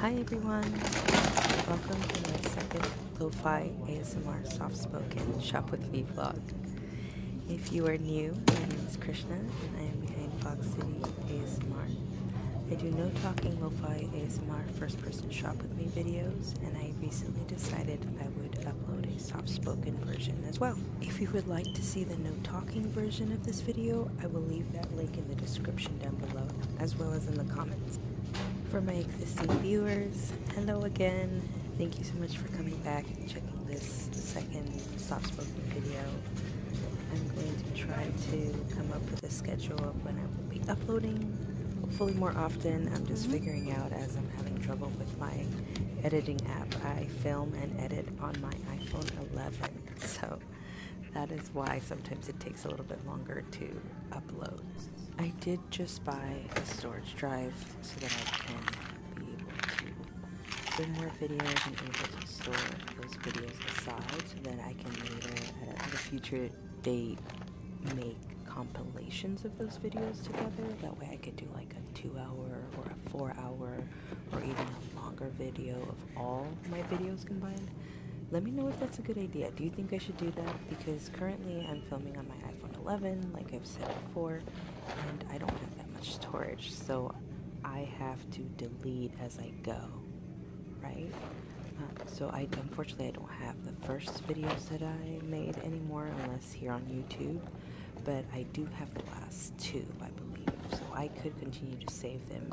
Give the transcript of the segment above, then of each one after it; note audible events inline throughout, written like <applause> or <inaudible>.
Hi everyone, welcome to my second Lo-Fi ASMR Soft Spoken Shop With Me vlog. If you are new, my name is Krishna and I am behind Fox City ASMR. I do no talking Lo-Fi ASMR first person Shop With Me videos and I recently decided I would upload a soft spoken version as well. If you would like to see the no talking version of this video, I will leave that link in the description down below, as well as in the comments. For my existing viewers, hello again. Thank you so much for coming back and checking this second soft spoken video. I'm going to try to come up with a schedule of when I will be uploading. Hopefully more often. I'm just mm-hmm. figuring out as I'm having trouble with my editing app. I film and edit on my iPhone 11. So that is why sometimes it takes a little bit longer to upload. I did just buy a storage drive so that I can be able to bring more videos and able to store those videos aside so that I can later uh, at a future date make compilations of those videos together. That way I could do like a two hour or a four hour or even a longer video of all my videos combined. Let me know if that's a good idea. Do you think I should do that? Because currently I'm filming on my iPhone 11, like I've said before, and I don't have that much storage, so I have to delete as I go, right? Um, so I unfortunately I don't have the first videos that I made anymore, unless here on YouTube, but I do have the last two, I believe. So I could continue to save them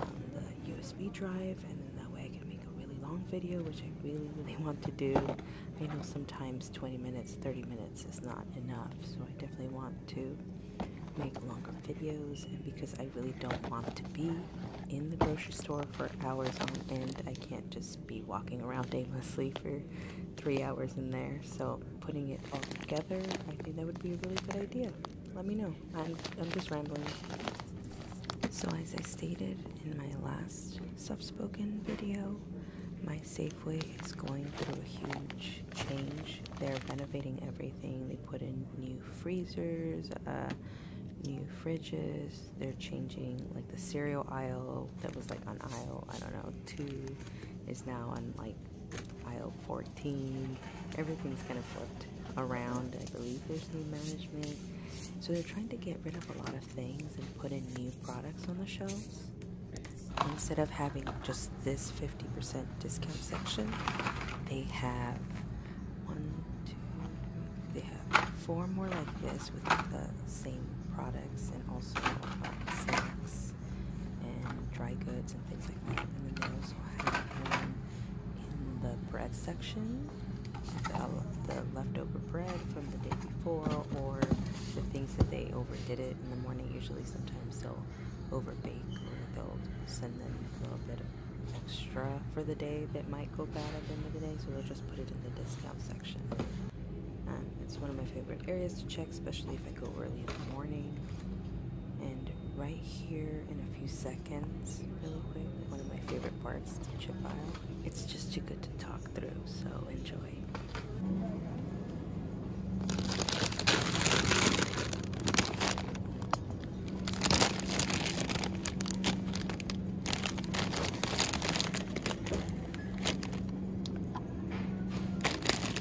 on the USB drive, and then that way I can make a really long video, which I really, really want to do. I know sometimes 20 minutes, 30 minutes is not enough, so I definitely want to make longer videos and because I really don't want to be in the grocery store for hours on end I can't just be walking around aimlessly for three hours in there so putting it all together, I think that would be a really good idea. Let me know. I'm, I'm just rambling. So as I stated in my last soft spoken video, my Safeway is going through a huge change. They're renovating everything. They put in new freezers, uh, new fridges. They're changing like the cereal aisle that was like on aisle, I don't know, two is now on like aisle 14. Everything's kind of flipped around. I believe there's new management. So they're trying to get rid of a lot of things and put in new products on the shelves. Instead of having just this 50% discount section, they have one, two, three, they have four more like this with the same products and also uh, and dry goods and things like that. And then they also have one in the bread section, the, the leftover bread from the day before or the things that they overdid it in the morning. Usually sometimes they'll overbake or they'll send them a little bit extra for the day that might go bad at the end of the day. So they'll just put it in the discount section. Um, it's one of my favorite areas to check, especially if I go early in the morning. And right here in a few seconds, really quick, one of my favorite parts, to chip aisle. It's just too good to talk through, so enjoy.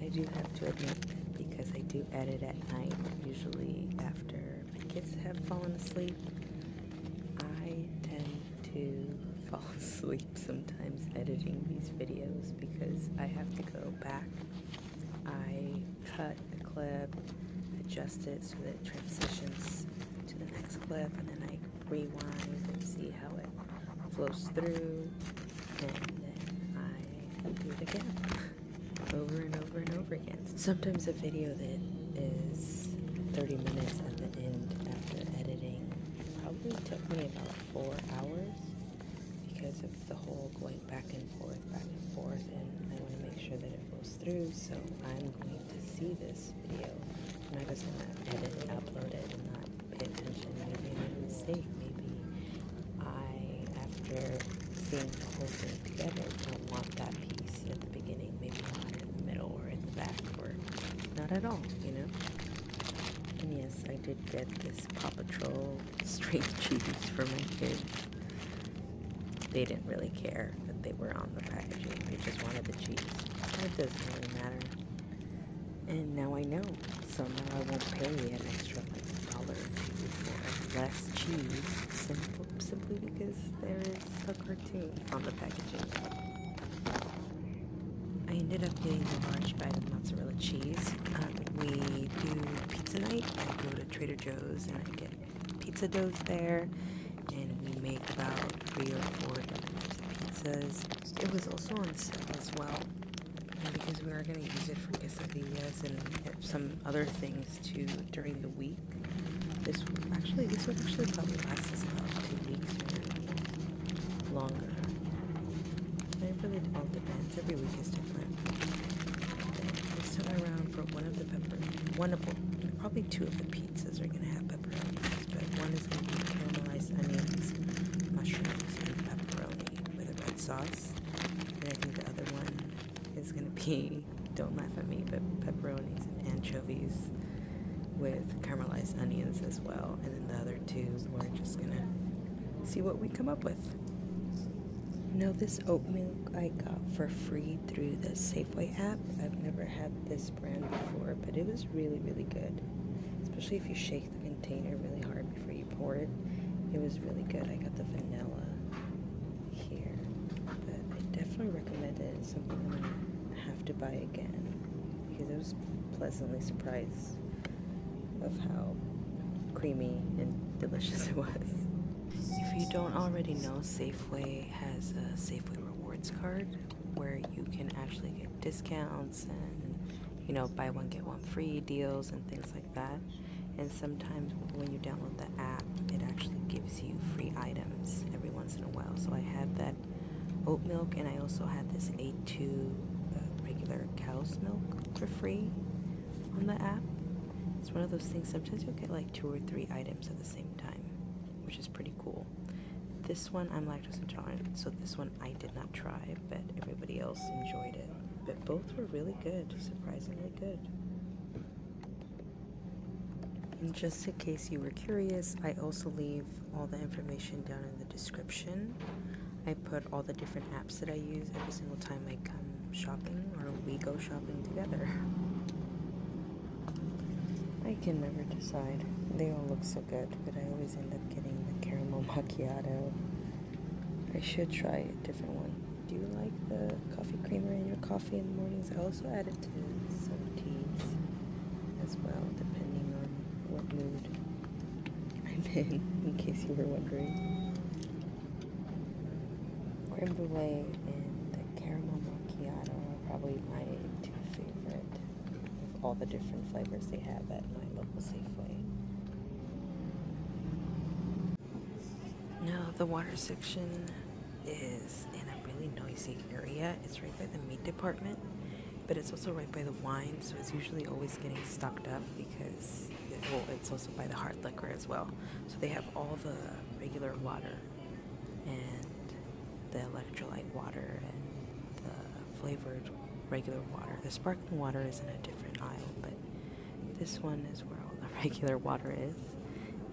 I do have to admit that because I do edit at night, usually after my kids have fallen asleep, I tend to <laughs> fall asleep sometimes editing these videos because I have to go back I cut the clip, adjust it so that it transitions to the next clip, and then I rewind and see how it flows through, and then I do it again, <laughs> over and over and over again. Sometimes a video that is 30 minutes at the end after editing probably took me about four hours because of the whole back and forth, back and forth, and I want to make sure that it goes through. So I'm going to see this video. and i just want to edit it, upload it, and not pay attention. Maybe make a mistake. Maybe I, after seeing the whole thing together, don't want that piece at the beginning. Maybe I want it in the middle or in the back or not at all. You know. And yes, I did get this Paw Patrol straight cheese for my kids. They didn't really care that they were on the packaging. They just wanted the cheese. It doesn't really matter. And now I know. So now I won't pay an extra like dollar for less cheese simple, simply because there is a cartoon on the packaging. I ended up getting the large bag of mozzarella cheese. Um, we do pizza night. I go to Trader Joe's and I get pizza doughs there and we make about three or four different pizzas. It was also on sale as well because we are going to use it for quesadillas and some other things too during the week. This actually, this would actually probably last us about two weeks or longer. I really don't the every week is different. This time around, for one of the peppers, one of probably two of the pizzas are going to have pepperonis, one is going to be caramelized onions, mushrooms, and pepperoni with a red sauce. And I think the other one is going to be, <laughs> don't laugh at me, but pepperonis and anchovies with caramelized onions as well. And then the other two, we're just going to see what we come up with. Now, this oatmeal I got for free through the Safeway app. I've never had this brand before, but it was really, really good. Especially if you shake the container really hard before you pour it. It was really good. I got the vanilla here, but I definitely recommend it. It's something I'm going to have to buy again because it was pleasantly surprised of how creamy and delicious it was. If you don't already know, Safeway has a Safeway Rewards card where you can actually get discounts and, you know, buy one, get one free deals and things like that. And sometimes when you download the app, it actually gives you free items every once in a while. So I had that oat milk and I also had this A2 uh, regular cow's milk for free on the app. It's one of those things, sometimes you'll get like two or three items at the same time, which is pretty cool. This one, I'm lactose intolerant, so this one I did not try, but everybody else enjoyed it. But both were really good, surprisingly good. And just in case you were curious, I also leave all the information down in the description. I put all the different apps that I use every single time I come um, shopping or we go shopping together. <laughs> I can never decide. They all look so good, but I always end up getting the caramel <laughs> macchiato. I should try a different one. Do you like the coffee creamer in your coffee in the mornings? I also add it to some teas as well, depending on what mood I'm in, <laughs> in case you were wondering creme brulee and the caramel macchiato are probably my two favorite of all the different flavors they have at my local Safeway. Now the water section is in a really noisy area. It's right by the meat department, but it's also right by the wine, so it's usually always getting stocked up because well, it's also by the hard liquor as well. So they have all the regular water and the electrolyte water and the flavored regular water. The sparkling water is in a different aisle, but this one is where all the <laughs> regular water is.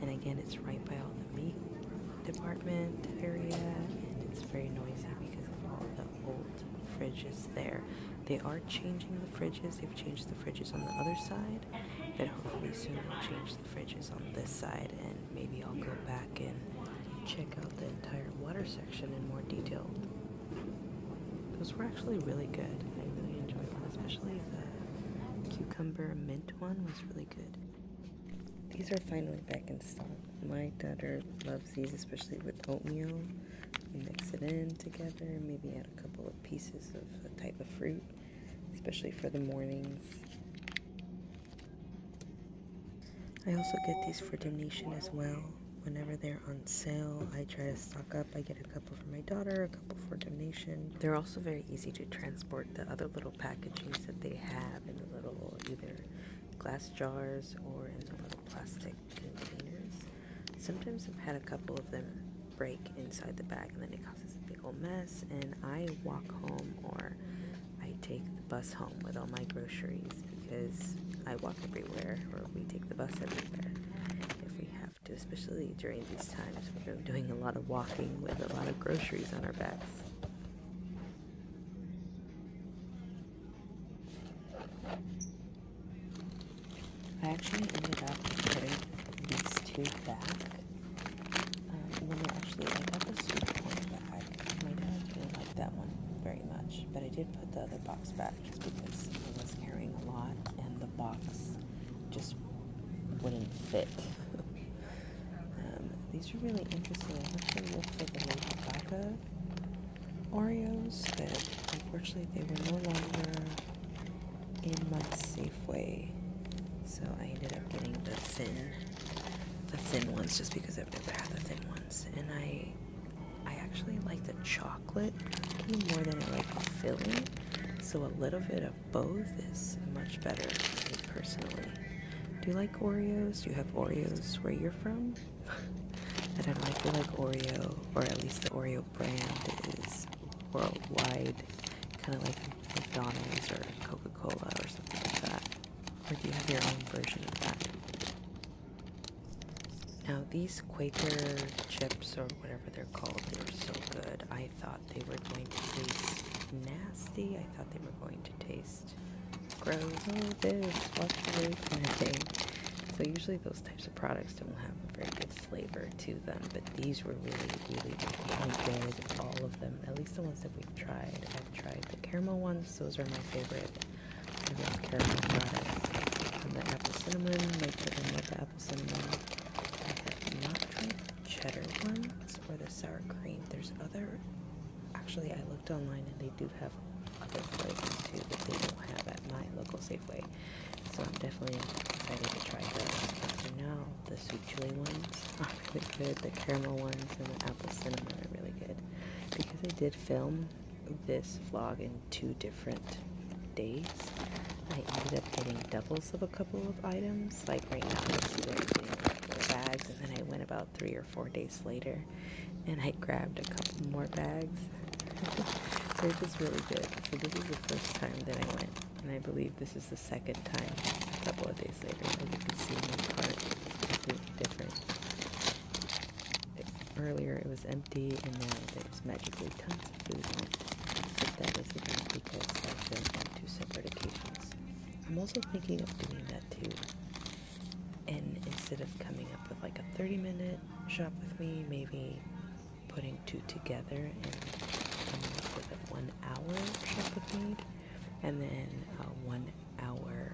And again, it's right by all the meat department area, and it's very noisy because of all the old fridges there. They are changing the fridges. They've changed the fridges on the other side, but hopefully soon they'll change the fridges on this side, and maybe I'll go back and check out the entire water section in more detail. Those were actually really good. I really enjoyed them, especially the cucumber mint one was really good. These are finally back in stock. My daughter loves these, especially with oatmeal. We mix it in together, maybe a couple of pieces of a type of fruit, especially for the mornings. I also get these for donation as well. Whenever they're on sale, I try to stock up. I get a couple for my daughter, a couple for donation. They're also very easy to transport. The other little packagings that they have in the little either glass jars or in the little plastic Sometimes I've had a couple of them break inside the bag and then it causes a big old mess and I walk home or I take the bus home with all my groceries because I walk everywhere or we take the bus everywhere if we have to, especially during these times where i doing a lot of walking with a lot of groceries on our backs. I actually ended up putting these two back. Um, when I actually, I got this soup one back. My dad didn't like that one very much, but I did put the other box back just because I was carrying a lot and the box just wouldn't fit. <laughs> Um, these are really interesting. I actually looked for the Lady Gaga Oreos, but unfortunately they were no longer in my Safeway, so I ended up getting the thin, the thin ones just because I've never had the thin ones, and I, I actually like the chocolate more than I like the filling, so a little bit of both is much better for me personally. Do you like Oreos? Do you have Oreos where you're from? I do and I, I feel like Oreo, or at least the Oreo brand, is worldwide, kind of like McDonald's or Coca Cola or something like that. Or do you have your own version of that? Now, these Quaker chips, or whatever they're called, they were so good. I thought they were going to taste nasty. I thought they were going to taste gross. Oh, this, wash away kind to thing. So, usually, those types of products don't have a very good flavor to them, but these were really, really, good. All of them, at least the ones that we've tried. I've tried the caramel ones, those are my favorite. caramel products. And the apple cinnamon, my children love the apple cinnamon. I have not tried the cheddar ones or the sour cream. There's other, actually, I looked online and they do have have other flavors too that they don't have at my local Safeway. So I'm definitely excited to try those. But now, the sweet chili ones are <laughs> really good. The caramel ones and the apple cinnamon are really good. Because I did film this vlog in two different days, I ended up getting doubles of a couple of items. Like right now, you see what I'm doing, bags, and then I went about three or four days later and I grabbed a couple more bags. They're just really good. So this is the first time that I went. And I believe this is the second time a couple of days later. As you can see, my cart is different. earlier it was empty and now it's magically tons of food in because I've been on two separate occasions. I'm also thinking of doing that too and instead of coming up with like a 30 minute shop with me, maybe putting two together and coming up with a one hour shop with me, and then a one hour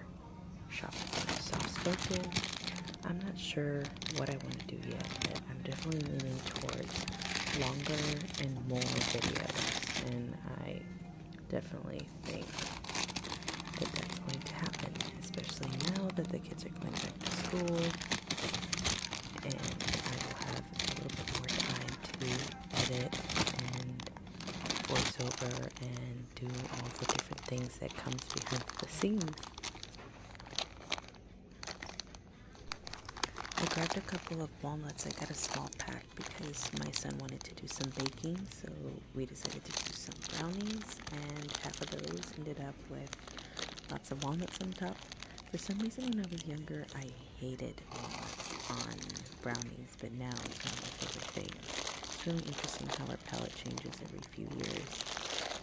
shop with soft spoken. I'm not sure what I want to do yet, but I'm definitely leaning towards longer and more videos, and I definitely think that that's going to happen, especially now that the kids are going back to school and I will have a little bit more time to edit and voiceover and do all the different things that comes behind the scenes. I grabbed a couple of walnuts. I got a small pack because my son wanted to do some baking, so we decided to do some brownies, and half of those ended up with lots of walnuts on top. For some reason, when I was younger, I hated walnuts on brownies, but now it's kind of my favorite thing. It's really interesting how our palate changes every few years.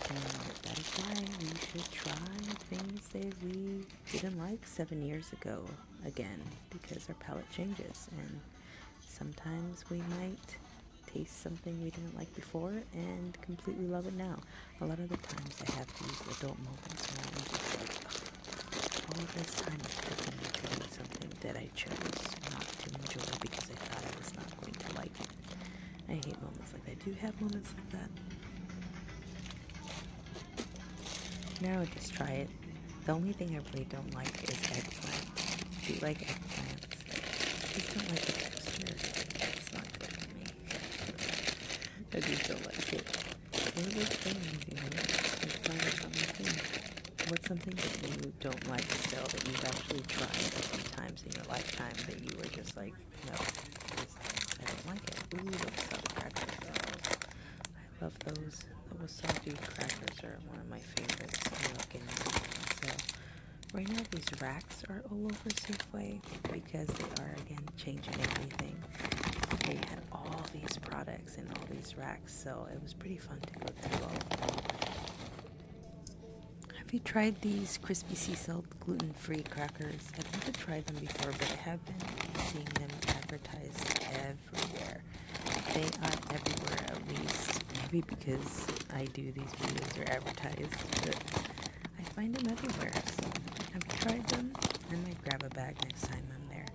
And that is why we should try things that we didn't like seven years ago again, because our palate changes, and sometimes we might taste something we didn't like before and completely love it now. A lot of the times I have these adult moments all this time I could have something that I chose not to enjoy because I thought I was not going to like it. I hate moments like that. Do you have moments like that? Now just try it. The only thing I really don't like is eggplant. Do you like eggplant? I just don't like the texture. It's not good for me. I just don't like it. What's something that you don't like to that you've actually tried a few times in your lifetime that you were just like, no, I don't like it. Ooh, those soft crackers. I love those. The wasabi crackers are one of my favorites. Right now, these racks are all over Safeway because they are again changing everything. They had all these products and all these racks, so it was pretty fun to go through all of them. Have you tried these crispy sea salt gluten free crackers? I've never tried them before, but I have been seeing them advertised everywhere. They are everywhere, at least, maybe because I do these videos are advertised, but I find them everywhere. So I've tried them. I might grab a bag next time I'm there.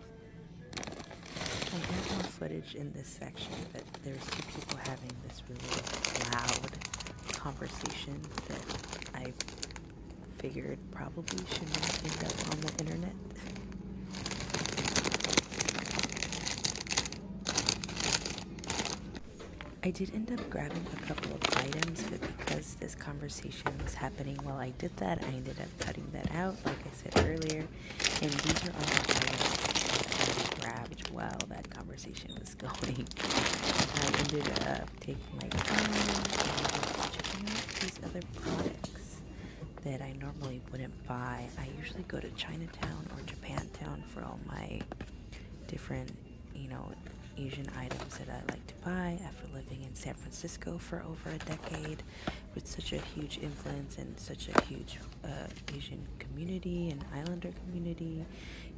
I have more footage in this section, but there's two people having this really loud conversation that I figured probably should not end up on the internet. I did end up grabbing a couple of items, but because this conversation was happening while I did that, I ended up cutting that out, like I said earlier. And these are all the items I grabbed while that conversation was <laughs> going. I ended up taking my these other products that I normally wouldn't buy. I usually go to China Chinatown or Japantown for all my different, you know, Asian items that I like to buy after living in San Francisco for over a decade with such a huge influence and such a huge uh, Asian community and islander community.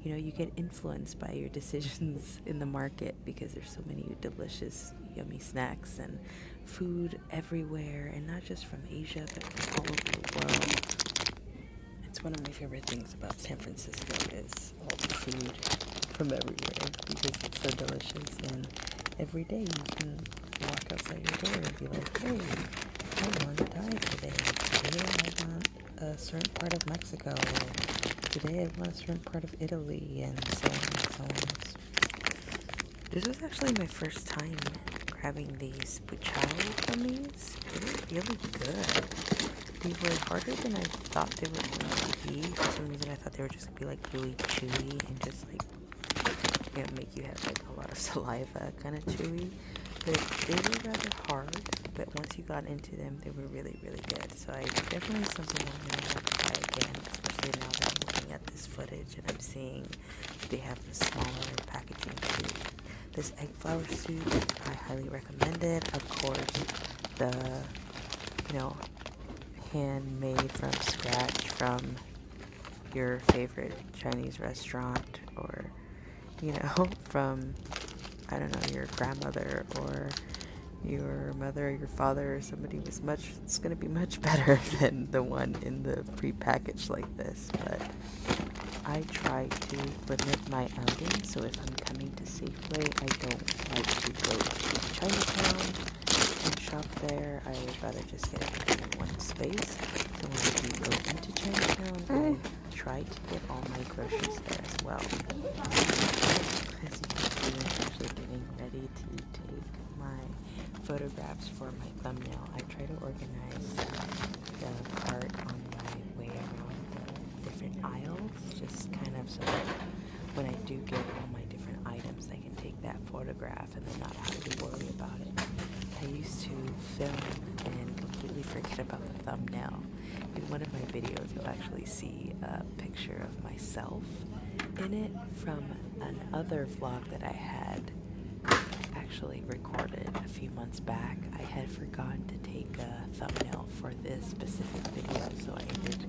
You know, you get influenced by your <laughs> decisions in the market because there's so many delicious, yummy snacks and food everywhere and not just from Asia but from all over the world. It's one of my favorite things about San Francisco is all the food from everywhere because it's so delicious and every day you can walk outside your door and be like, hey, I want to die today. Today I want a certain part of Mexico. Today I want a certain part of Italy and so on and so on. This was actually my first time grabbing these these Buchari gummies. They were really good. They were harder than I thought they were going to be. For some reason, I thought they were just going to be like really chewy and just like make you have like a lot of <laughs> saliva kind of chewy. But they were rather hard. But once you got into them, they were really, really good. So I definitely something I'm going to have to try again, especially now that I'm looking at this footage and I'm seeing they have the smaller packaging too. This egg flour soup, I highly recommend it. Of course, the you know handmade from scratch from your favorite Chinese restaurant or you know <laughs> from I don't know your grandmother or your mother or your father or somebody was much it's going to be much <laughs> better than the one in the pre-packaged like this but I try to limit my outing, so if I'm coming to Safeway, I don't like to go to Chinatown and shop there. I would rather just get it in one space. So when I do go into Chinatown, I mm. try to get all my groceries there as well. I'm actually getting ready to take my photographs for my thumbnail. I try to organize the art on my way around the different aisles, just kind of so that when I do get all my different items, I can take that photograph and then not have to worry about it. I used to film and completely forget about the thumbnail. In one of my videos, you'll actually see a picture of myself in it from another vlog that I had actually recorded a few months back. I had forgotten to take a thumbnail for this specific video, so I ended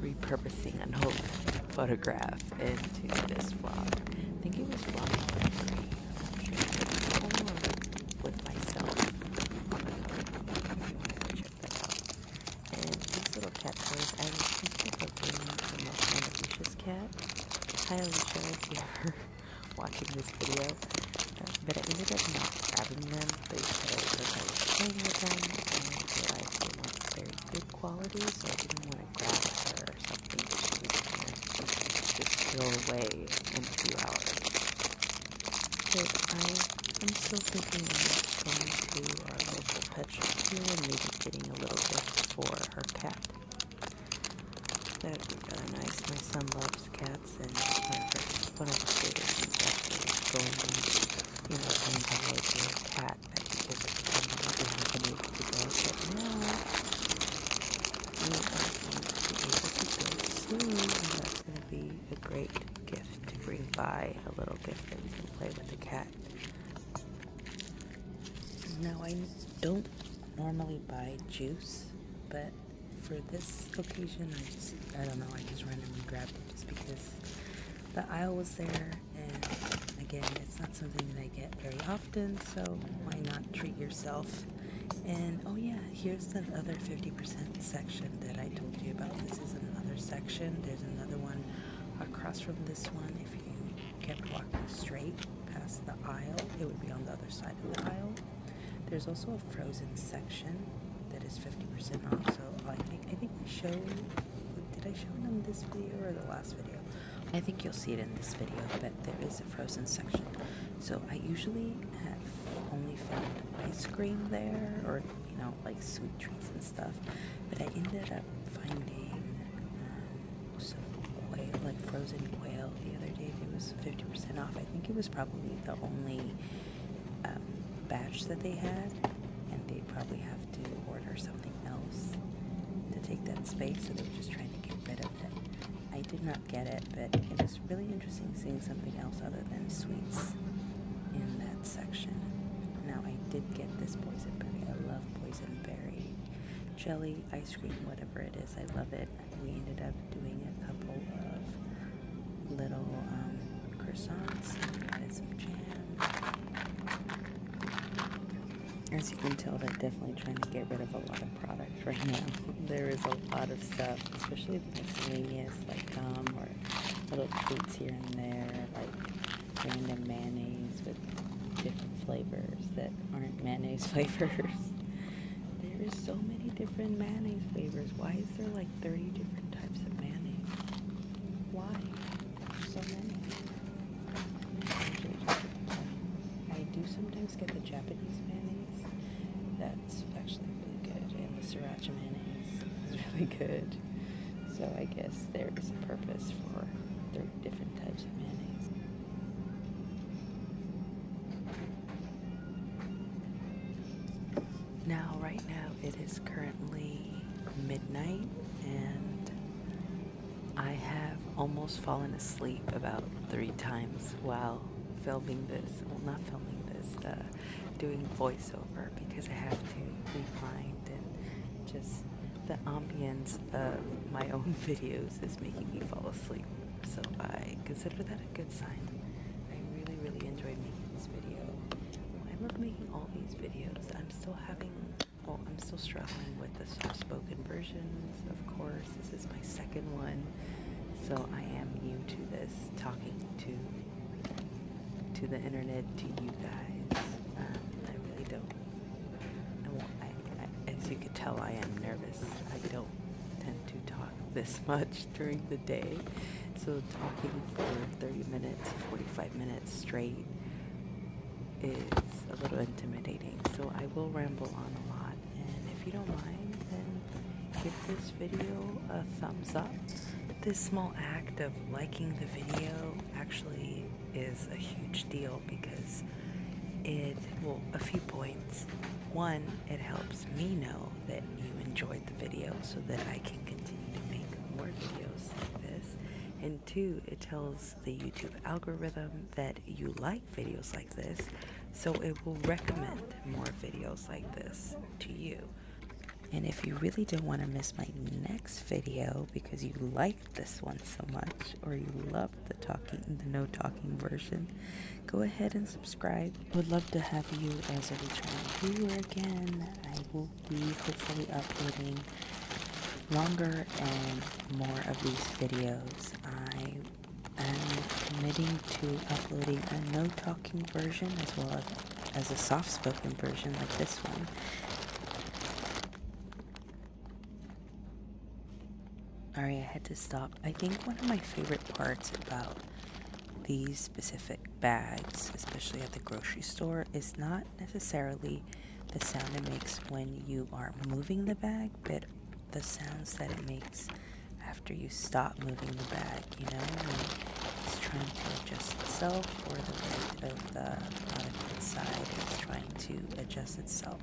repurposing an old photograph into this vlog. I think it was vlog three. I'm it was with myself. Check that out. And these little cat I was thinking of doing this cat. I highly jealous you are <laughs> watching this video. but uh, I ended up not grabbing them because I was playing with them and realized they weren't very good quality, so I didn't want to grab her or something that she was just go away in a few hours. So I am still thinking of going to our local pet shop and maybe getting a little gift for her cat. That would be really nice. My son loves cats and whatever. One of his favorites is actually going and, you know, trying to like a cat that he just hasn't been able to go. But now, we are going to be able to go soon, and that's going to be a great gift to bring by a little gift that we can play with the cat that. Now, I don't normally buy juice, but for this occasion, I just, I don't know, I just randomly grabbed it just because the aisle was there, and again, it's not something that I get very often, so why not treat yourself? And oh, yeah, here's the other 50% section that I told you about. This is another section, there's another one across from this one if you kept walking straight past the aisle, it would be on the other side of the aisle. There's also a frozen section that is 50% off. So I think I think I showed did I show it in this video or the last video? I think you'll see it in this video, but there is a frozen section. So I usually have only found ice cream there or you know like sweet treats and stuff, but I ended up finding um, quail, like frozen quail, the other day. It was 50% off. I think it was probably the only um, batch that they had, and they probably have to order something else to take that space, so they were just trying to get rid of it. I did not get it, but it was really interesting seeing something else other than sweets in that section. Now, I did get this poison berry. I love poison berry jelly, ice cream, whatever it is. I love it. We ended up doing a couple of little um, croissants and some jam. As you can tell, they're definitely trying to get rid of a lot of products right now. <laughs> there is a lot of stuff, especially the miscellaneous, like gum or little treats here and there, like random mayonnaise with different flavors that aren't mayonnaise <laughs> flavors. there is so many different mayonnaise flavors. Why is there like 30 different types of mayonnaise? Why? so many. I do sometimes get the Japanese mayonnaise. That's actually really good. And the sriracha mayonnaise is <laughs> really good. So I guess there is a purpose for 30 different types now, right now, it is currently midnight, and I have almost fallen asleep about three times while filming this. Well, not filming this, uh, doing voiceover because I have to be rewind and just the ambience my own <laughs> videos is making me fall asleep. So I consider that a good sign. I really, really enjoy making this video. I love making all these videos. I'm still having, well, I'm still struggling with the soft spoken versions, of course. This is my second one. So I am new to this, talking to to the internet, to you guys. Um, I really don't as you can tell, I am nervous. I don't tend to talk <laughs> this much during the day. So talking for 30 minutes, 45 minutes straight is a little intimidating. So I will ramble on a lot. And if you don't mind, then give this video a thumbs up. This small act of liking the video actually is a huge deal because it, well, a few points. One, it helps me know that you enjoyed the video so that I can continue to make more videos like this. And two, it tells the YouTube algorithm that you like videos like this, so it will recommend more videos like this to you. And if you really don't want to miss my next video because you like this one so much or you love the talking the no talking version, go ahead and subscribe. Would love to have you as a returning viewer again. I will be hopefully uploading longer and more of these videos. I am committing to uploading a no talking version as well as a soft spoken version like this one. Alright, I had to stop. I think one of my favorite parts about these specific bags, especially at the grocery store, is not necessarily the sound it makes when you are moving the bag, but the sounds that it makes after you stop moving the bag, you know, when it's trying to adjust itself or the way of the product inside it's trying to adjust itself.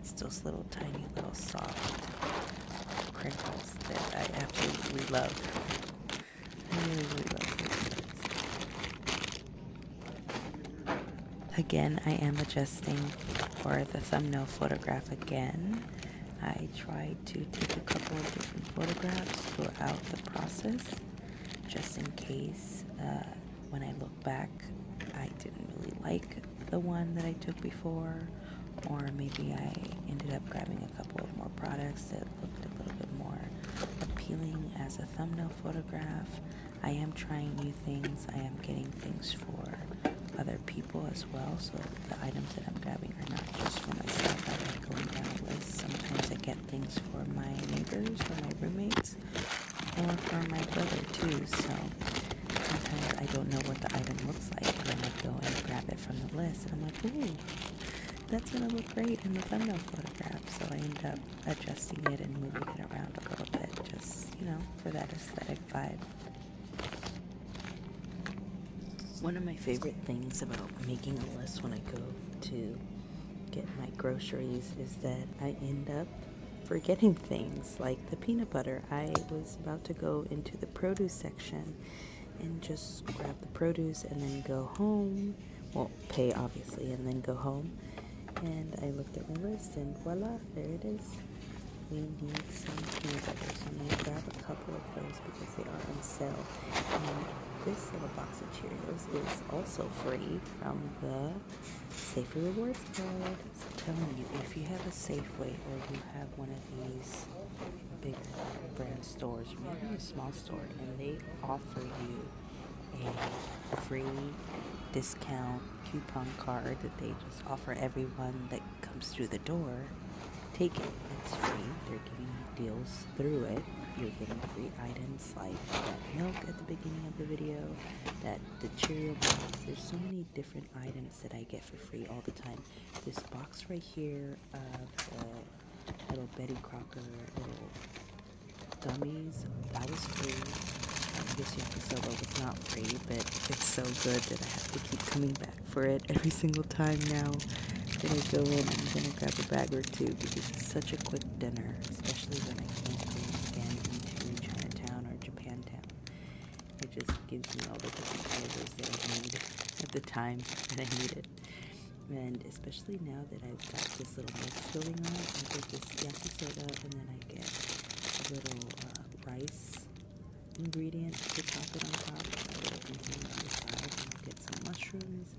It's those little tiny little soft crinkles that I absolutely love. I really, love these Again, I am adjusting for the thumbnail photograph again. I tried to take a couple of different photographs throughout the process just in case uh, when I look back, I didn't really like the one that I took before, or maybe I ended up grabbing a couple of more products that looked a little bit more appealing as a thumbnail photograph. I am trying new things, I am getting things for other people as well, so the items that I'm grabbing are not just for myself. I like going down a list. Sometimes I get things for my neighbors or my roommates or for my brother too. So sometimes I don't know what the item looks like, and I go and grab it from the list, and I'm like, ooh, that's gonna look great in the thumbnail photograph. So I end up adjusting it and moving it around a little bit, just you know, for that aesthetic vibe. One of my favorite things about making a list when I go to get my groceries is that I end up forgetting things like the peanut butter. I was about to go into the produce section and just grab the produce and then go home. Well, pay obviously, and then go home. And I look at my list and voila, there it is. We need some peanut butter. So I'm going to grab a couple of those because they are on sale. And this little box of Cheerios is also free from the Safeway Rewards card. telling you, if you have a Safeway or you have one of these big brand stores, or maybe a small store, and they offer you a free discount coupon card that they just offer everyone that comes through the door, take it. It's free. They're giving you deals through it. You're getting free items like that milk at the beginning of the video that the cheerio box there's so many different items that i get for free all the time this box right here of little betty crocker little gummies that was free I guess Yakisoba was not free, but it's so good that I have to keep coming back for it every single time now that I go in. I'm gonna grab a bag or two because it's such a quick dinner especially when I can't Chinatown or Japantown. It just gives me all the different flavors that I need at the time <laughs> that I need it. And especially now that I've got this little mix going on, I get this yakisoba and then I get a little uh, rice ingredient to top it on top, a little on the side, and get some mushrooms,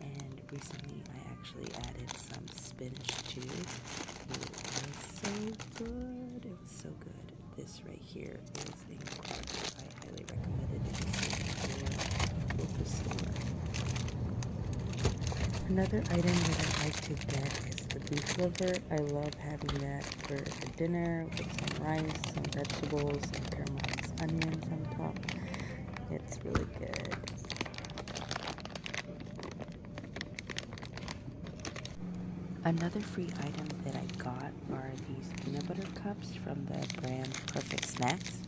and recently I actually added some spinach too. It was so good. It was so good. This right here is incredible. I highly recommend it Another item that I like to get is the beef liver. I love having that for dinner with some rice, some vegetables, some caramelized onions on top. It's really good. Another free item that I got are these peanut butter cups from the brand Perfect Snacks.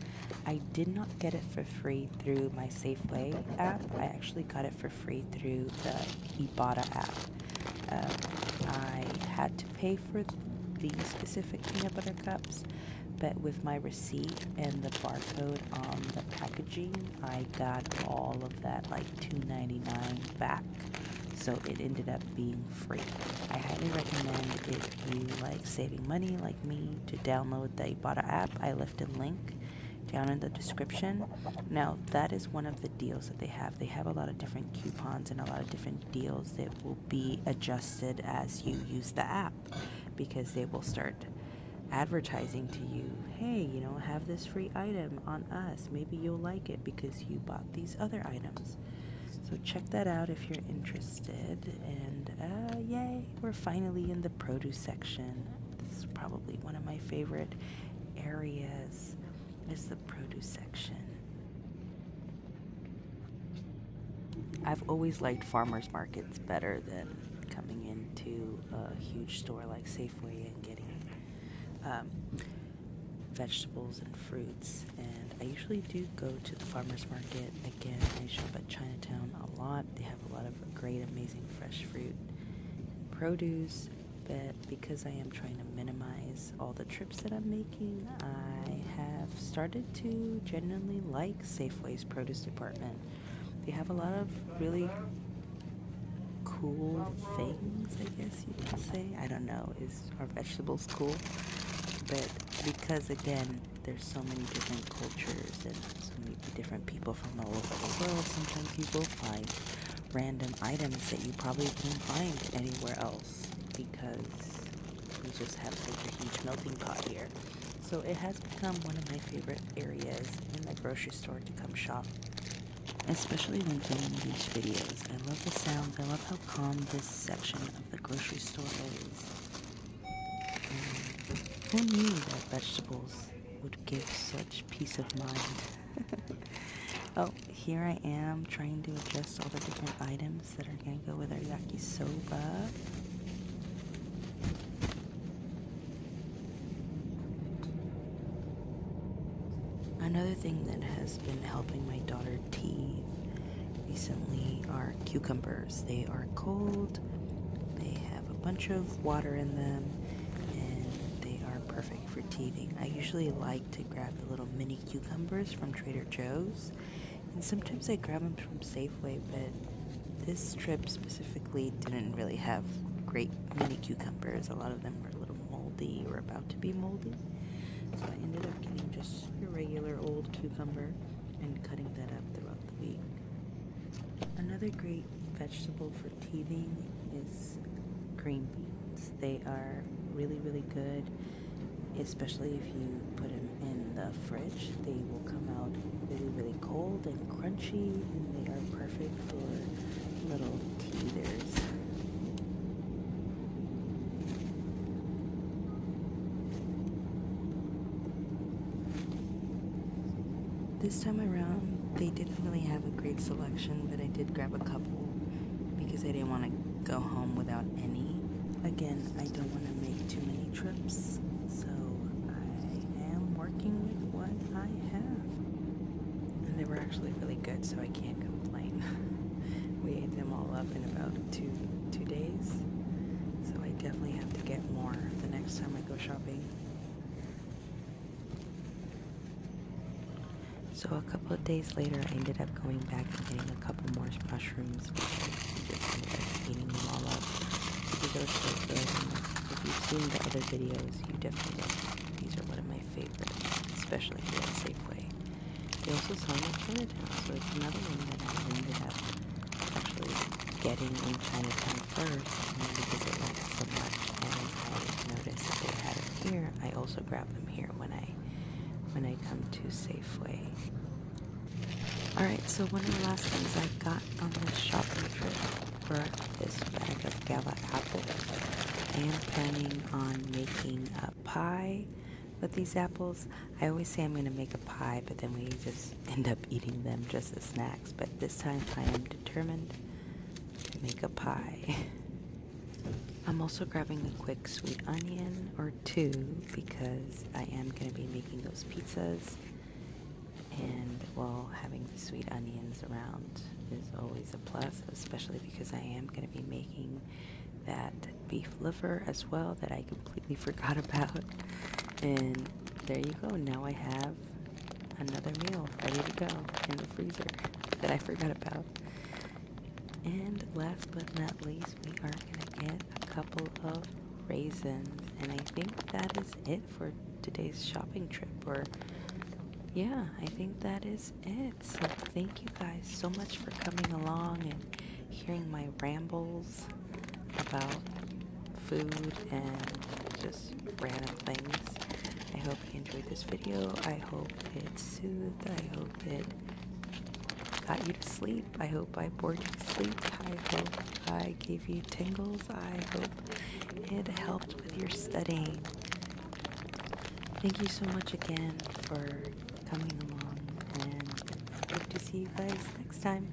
I did not get it for free through my Safeway app. I actually got it for free through the Ibotta app. Um, I had to pay for the specific peanut butter cups, but with my receipt and the barcode on the packaging I got all of that like $2.99 back so it ended up being free I highly recommend if you like saving money like me to download the Ibotta app I left a link down in the description now that is one of the deals that they have they have a lot of different coupons and a lot of different deals that will be adjusted as you use the app because they will start advertising to you hey, you know, have this free item on us. Maybe you'll like it because you bought these other items. So check that out if you're interested. And uh, yay, we're finally in the produce section. This is probably one of my favorite areas is the produce section. I've always liked farmers markets better than coming into a huge store like Safeway and getting um, vegetables and fruits. And I usually do go to the farmers market again. I shop at Chinatown a lot. They have a lot of great, amazing fresh fruit and produce. But because I am trying to minimize all the trips that I'm making, I have started to genuinely like. Safeway's produce department. They have a lot of really cool things, I guess you could say. I don't know, is our vegetables cool? But because again, there's so many different cultures and so many different people from all over the world, sometimes you will find random items that you probably wouldn't find anywhere else because we just have such a huge melting pot here. So it has become one of my favorite areas in the grocery store to come shop. Especially when filming these videos. I love the sounds. I love how calm this section of the grocery store is. And mm. who knew that vegetables would give such peace of mind? <laughs> oh, here I am trying to adjust all the different items that are going to go with our yakisoba. Another thing that has been helping my daughter teethe recently are cucumbers. They are cold, they have a bunch of water in them, and they are perfect for teething. I usually like to grab the little mini cucumbers from Trader Joe's and sometimes I grab them from Safeway, but this trip specifically didn't really have great mini cucumbers. A lot of them were a little moldy or about to be moldy. So I ended up getting just your regular old cucumber and cutting that up throughout the week. Another great vegetable for teething is green beans. They are really, really good especially if you put them in the fridge. They will come out really, really cold and crunchy, and they are perfect for little teethers. This time around, they didn't really have a great selection, but I did grab a couple because I didn't want to go home without any. Again, I don't want to make too many trips, so I am working with what I have. And they were actually really good, so I can't complain. <laughs> we ate them all up in about two two days, so I definitely have to get more the next time I go shopping. So a couple of days later, I ended up going back and getting a couple more mushrooms If you've seen the other videos, you definitely these are one of my favorites, especially here at Safeway. They also sell them at Chinatown, so it's another one that I ended up actually getting in Chinatown first, because I noticed they had them here. I also grab them here when I when I come to Safeway. Alright, so one of the last things I got on this shopping trip was this bag of Gala apples. I am planning on making a pie with these apples. I always say I'm going to make a pie, but then we just <laughs> end up eating them just as snacks. But this time I am determined to make a pie. <laughs> I'm also grabbing a quick sweet onion or two because I am going to be making those pizzas. And while having the sweet onions around is always a plus, especially because I am going to be making that beef liver as well that I completely <laughs> forgot about. And there you go, now I have another meal ready to go in the freezer that I forgot about. And last but not least, we are gonna get a couple of raisins and I think that is it for today's shopping trip or yeah I think that is it so thank you guys so much for coming along and hearing my rambles about food and just random things I hope you enjoyed this video I hope it soothed I hope it got you to sleep. I hope I bored you to sleep. I hope I gave you tingles. I hope it helped with your studying. Thank you so much again for coming along and hope to see you guys next time.